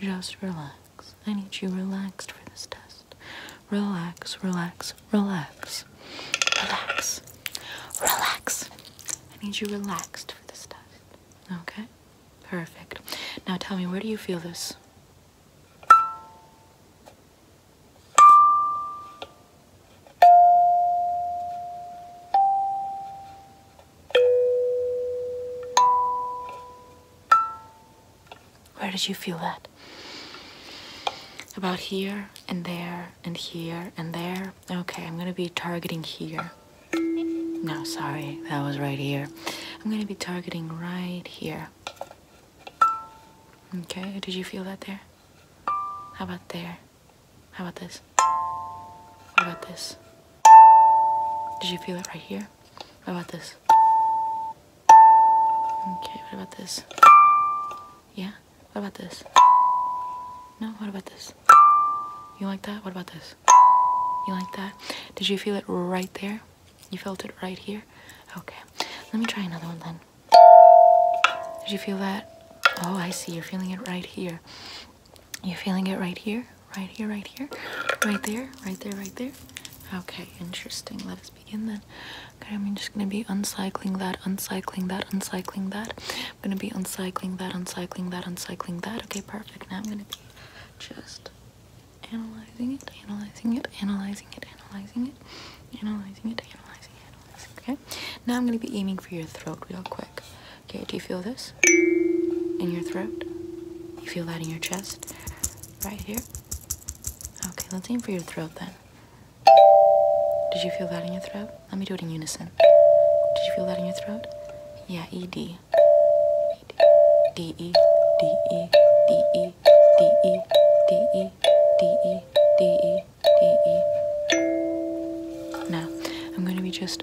Just relax. I need you relaxed for this test. Relax, relax, relax. Relax. Relax. I need you relaxed for this test. Okay? Perfect. Now tell me, where do you feel this? Where did you feel that? About here and there and here and there. Okay, I'm gonna be targeting here. No, sorry, that was right here. I'm gonna be targeting right here. Okay, did you feel that there? How about there? How about this? What about this? Did you feel it right here? What about this? Okay, what about this? Yeah? What about this? No, what about this? You like that? What about this? You like that? Did you feel it right there? You felt it right here? Okay. Let me try another one then. Did you feel that? Oh, I see. You're feeling it right here you feeling it right here, right here, right here, right there, right there, right there. Okay, interesting. Let us begin then. Okay, I'm just gonna be uncycling that, uncycling that, uncycling that. I'm gonna be uncycling that, uncycling that, uncycling that. Okay, perfect. Now I'm gonna be just analyzing it, analyzing it, analyzing it, analyzing it, analyzing it, analyzing it, analyzing it. Okay. Now I'm gonna be aiming for your throat real quick. Okay, do you feel this in your throat? You feel that in your chest? Right here? Okay, let's aim for your throat then. Did you feel that in your throat? Let me do it in unison. Did you feel that in your throat? Yeah, E D. D E D E D E D E D E D E D E D E. Now, I'm going to be just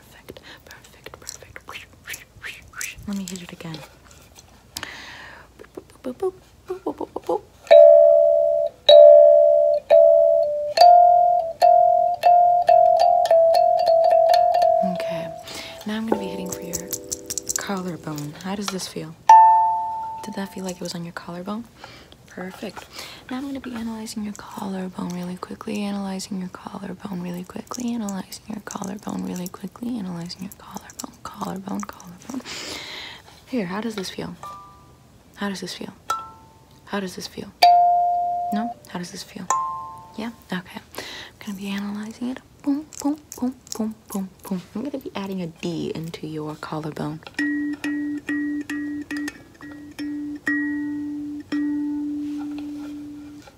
Perfect, perfect, perfect. Let me hit it again. Okay, now I'm gonna be hitting for your collarbone. How does this feel? Did that feel like it was on your collarbone? Perfect. Now I'm going to be analyzing your collarbone really quickly, analyzing your collarbone really quickly, Analyze your collarbone really quickly. Analyzing your collarbone, collarbone, collarbone. Here, how does this feel? How does this feel? How does this feel? No? How does this feel? Yeah? Okay. I'm gonna be analyzing it. Boom, boom, boom, boom, boom, boom. I'm gonna be adding a D into your collarbone.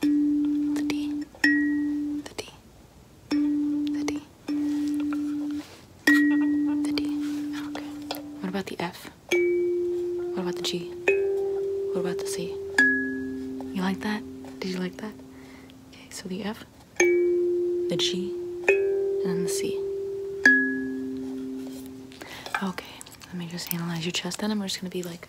the D, the D, the D, the D. Okay. What about the F? What about the G? What about the C? You like that? Did you like that? Okay, so the F, the G, and the C. Okay, let me just analyze your chest then. I'm just gonna be like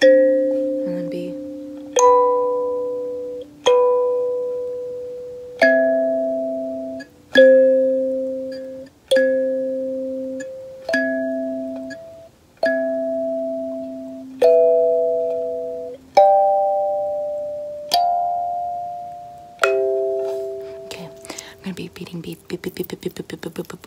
and then B. Okay, I'm gonna be beating beat beat beat beat beat beat beat beat beat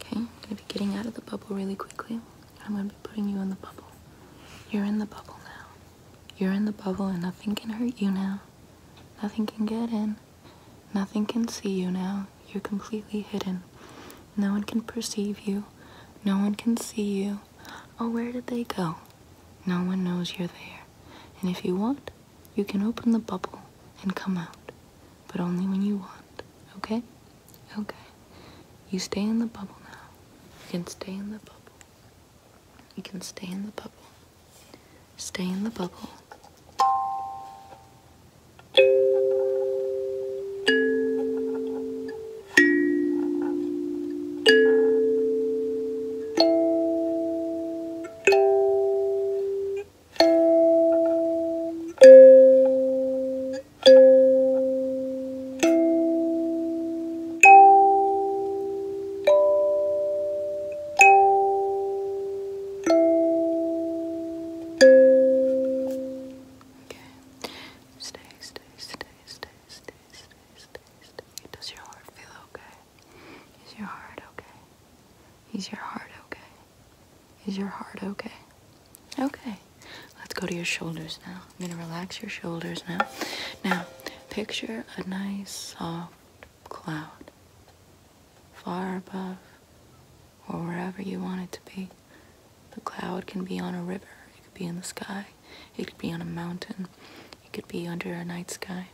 Okay, I'm gonna be getting out of the bubble really quickly. I'm gonna be putting you in the bubble. You're in the bubble now. You're in the bubble and nothing can hurt you now. Nothing can get in. Nothing can see you now. You're completely hidden. No one can perceive you. No one can see you. Oh, where did they go? No one knows you're there. And if you want, you can open the bubble and come out. But only when you want, okay? Okay. You stay in the bubble now. You can stay in the bubble. You can stay in the bubble. Stay in the bubble. Stay, stay, stay, stay, stay, stay, stay, stay. Does your heart feel okay? Is your heart okay? Is your heart okay? Is your heart okay? Okay. Let's go to your shoulders now. I'm going to relax your shoulders now. Now, picture a nice soft cloud far above or wherever you want it to be. The cloud can be on a river, it could be in the sky, it could be on a mountain, it could be under a night sky.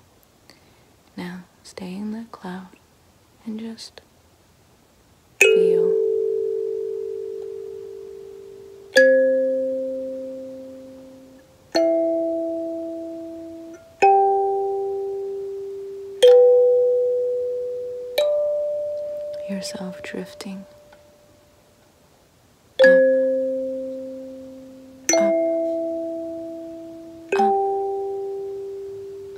Now, stay in that cloud and just feel. Yourself drifting. up, up, up,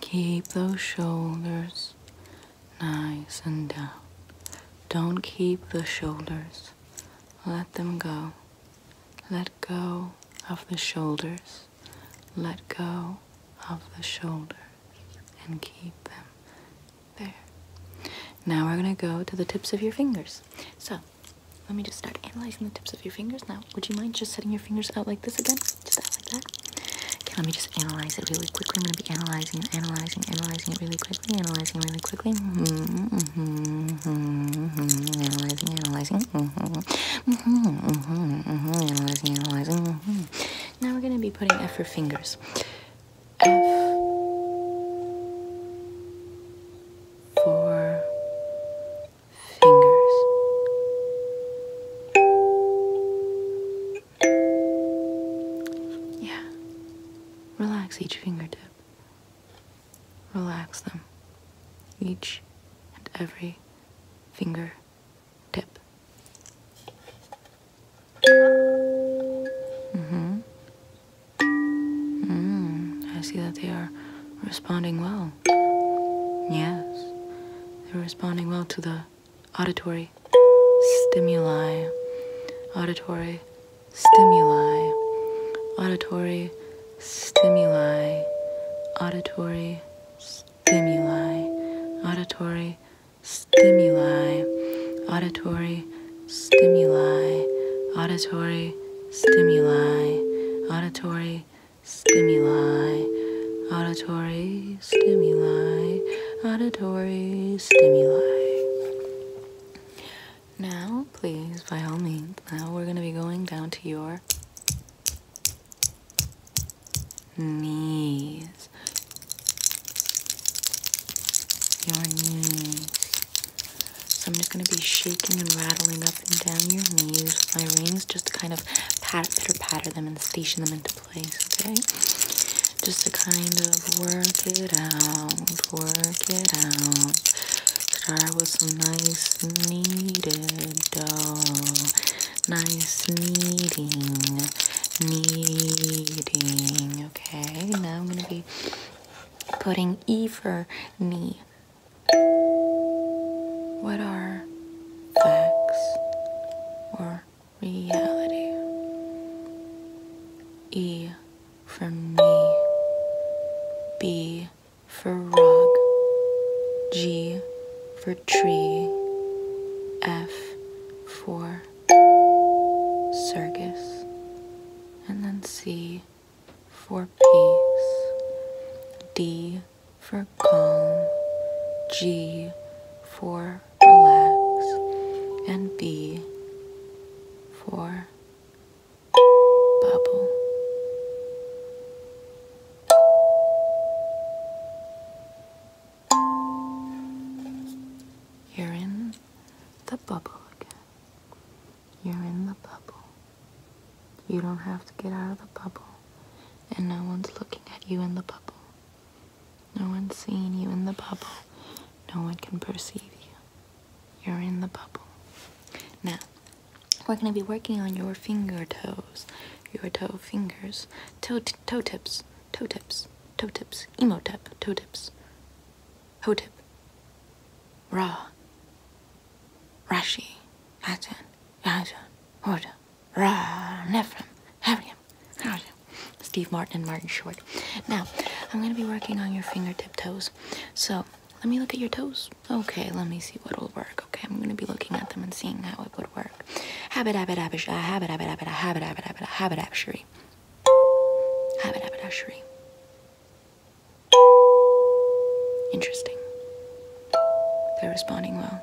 Keep those shoulders nice and down. Don't keep the shoulders. Let them go. Let go of the shoulders. Let go of the shoulders and keep them there. Now we're going to go to the tips of your fingers. So let me just start analyzing the tips of your fingers now. Would you mind just setting your fingers out like this again? Just that like that. Okay, let me just analyze it really quickly. I'm gonna be analyzing it, analyzing, analyzing it really quickly, analyzing really quickly. Mm-hmm, mm-hmm, mm-hmm, analyzing, analyzing. Mm-hmm, mm-hmm, mm-hmm, mm-hmm, analyzing, analyzing. Mm-hmm. Now we're gonna be putting F for fingers. F for fingers. Yeah. Relax each fingertip. Relax them. Each and every finger tip. Mm-hmm. mm-hmm. I see that they are responding well. Yes, they're responding well to the auditory stimuli. Auditory stimuli. Auditory stimuli. Auditory stimuli. Auditory stimuli. Auditory stimuli. Auditory stimuli. Auditory stimuli, auditory stimuli, auditory stimuli. Now, please, by all means, now we're going to be going down to your knees. Your knees. So I'm just going to be shaking and rattling up and down your knees with my rings just to kind of pat, pitter patter them in station them into place, okay? Just to kind of work it out, work it out. Start with some nice kneaded dough. Nice kneading, kneading, okay? Now I'm gonna be putting E for knee. What are facts, or reality. E for me, B for rug, G for tree, F for circus, and then C for peace, D for calm, G for relax, and B for bubble. You're in the bubble again. You're in the bubble. You don't have to get out of the bubble, and no one's looking at you in the bubble. No one's seeing you in the bubble. No one can perceive you. You're in the bubble. Now, we're going to be working on your finger toes, your toe fingers, toe, toe tips, toe tips, toe tips, emo tip, toe tips, toe tip, raw, rashi, hatan, yajan, hoda. Ra, Nephram, Abraham, Abraham. Steve Martin and Martin Short. Now, I'm going to be working on your fingertip toes. So, let me look at your toes. Okay, let me see what'll work. Okay, I'm gonna be looking at them and seeing how it would work. Habit, habit, habit, habit, habit, habit, habit, habit, habit, habit, habit, Habit, habit, habit, Interesting. They're responding well.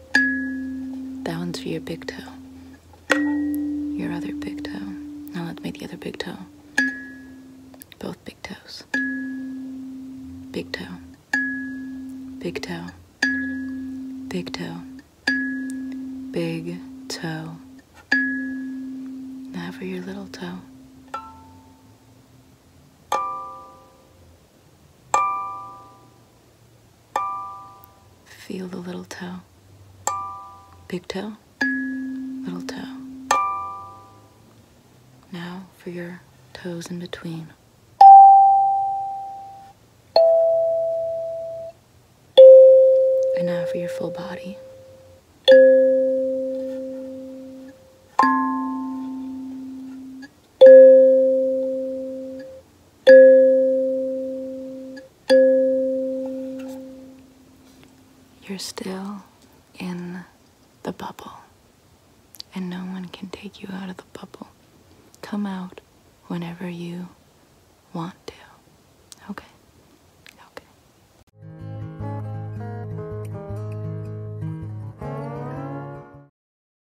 That one's for your big toe. Your other big toe. Now let's make the other big toe. Both big toes. Big toe. Big toe. Big toe. Big toe. Now for your little toe. Feel the little toe. Big toe, little toe. Now for your toes in between. And now for your full body. You're still in the bubble, and no one can take you out of the bubble. Come out whenever you want to. Okay. Okay.